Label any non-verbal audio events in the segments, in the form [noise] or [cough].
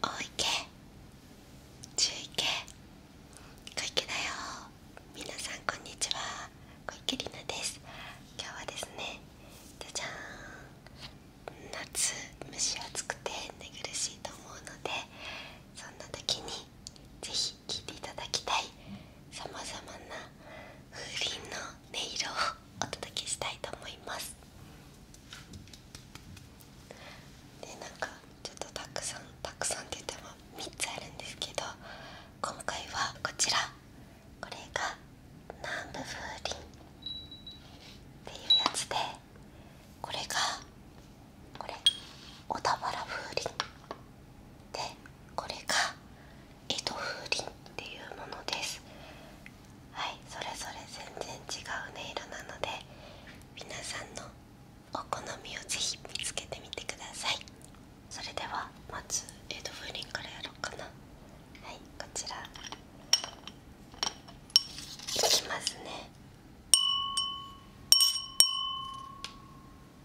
大池中池小池だよ皆さんこんにちは小池里奈です今日はですねじゃじゃーん夏蒸し暑くて寝苦しいと思うのでそんな時にぜひ聴いていただきたいさまざまな風鈴の音色をお届けしたいと思いますでなんかちょっとたくさんたくさんって言っても3つあるんですけど今回はこちらこれが南部風鈴っていうやつでこれがこれ小田原風鈴でこれが江戸風鈴っていうものですはいそれぞれ全然違う音色なので皆さんのお好みをぜひ見つけてみてくださいそれではまず江戸風鈴からやろうかなはいこちらいきますね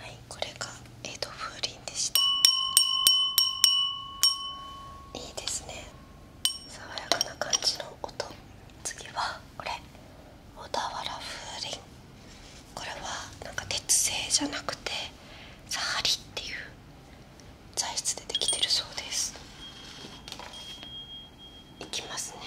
はいこれが江戸風鈴でしたいいですね爽やかな感じの音次はこれ小田原風鈴これはなんか鉄製じゃなくてサハリっていう材質でできてるそうですいきますね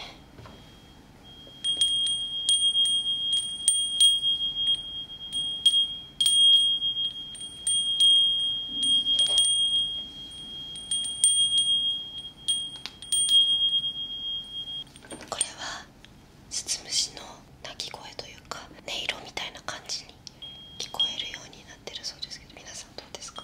これはスつムシの鳴き声というか音色みたいな感じに聞こえるようになってるそうですけど皆さんどうですか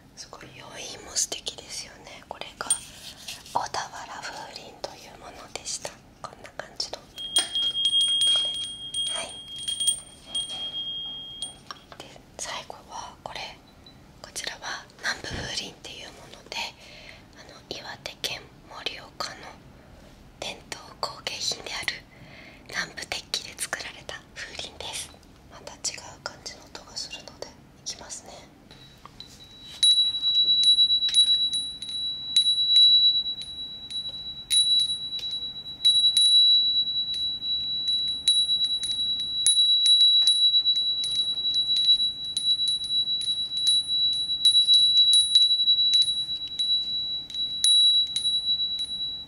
すごい余韻も素敵ですよねこれが小田原風鈴というものでしたこんな感じのこれはいで最後はこれこちらは南部風鈴っていうものであの岩手県盛岡の伝統工芸品である南部鉄器で作られた風鈴ですまた違う感じの音がするのでいきますね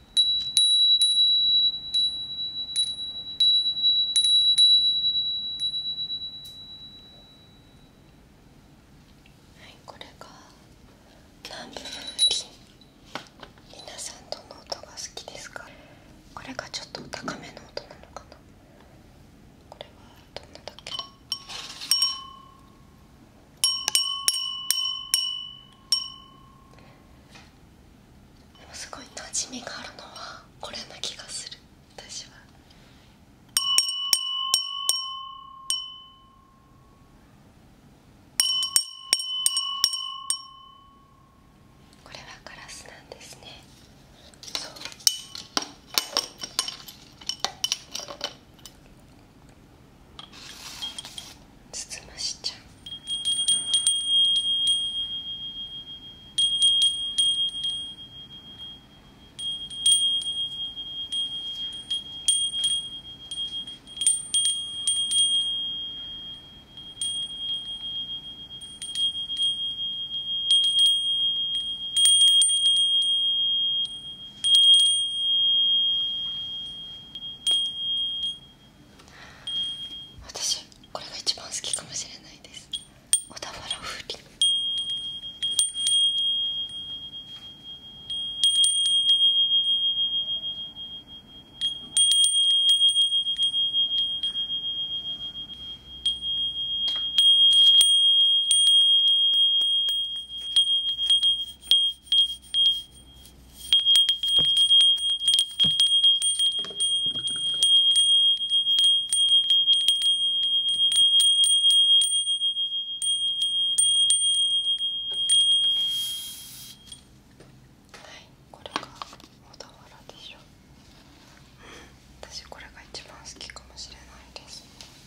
はい、これが南部林皆さんどの音が好きですかこれがちょっと高めの音なのかなこれはどんなだっけすごい馴染みがあるのはこれな気がする私は。これはガラスなんですねそうつつましちゃう私これが一番好きかもしれないです小田原風鈴はいこれが小田原でしょ私これが一番好きかもしれないです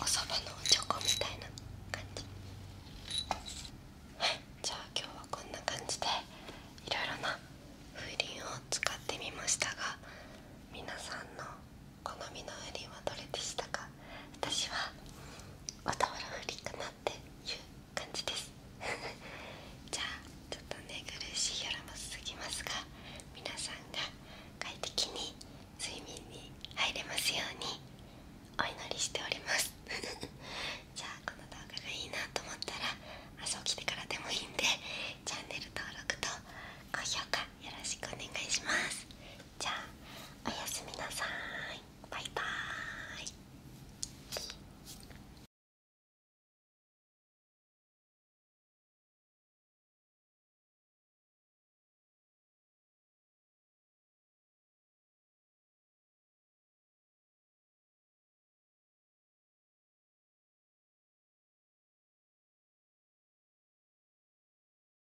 おそばのチョコみたいな感じはい [laughs] じゃあ今日はこんな感じでいろいろな風鈴を使ってみましたが皆さんの好みの風鈴はどれでしたか私はおたまらふりかなっていう感じです [laughs] じゃあちょっと寝苦しい夜も続きますが皆さんが快適に睡眠に入れますようにお祈りしております [laughs] じゃあこの動画がいいなと思ったら朝起きてからでもいいんでチャンネル登録と高評価よろしくお願いしますじゃあおやすみなさいバイバイ